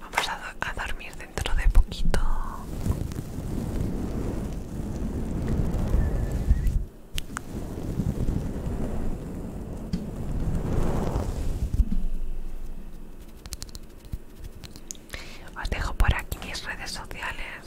Vamos a, dormir dentro de poquito. Os dejo por aquí mis redes sociales.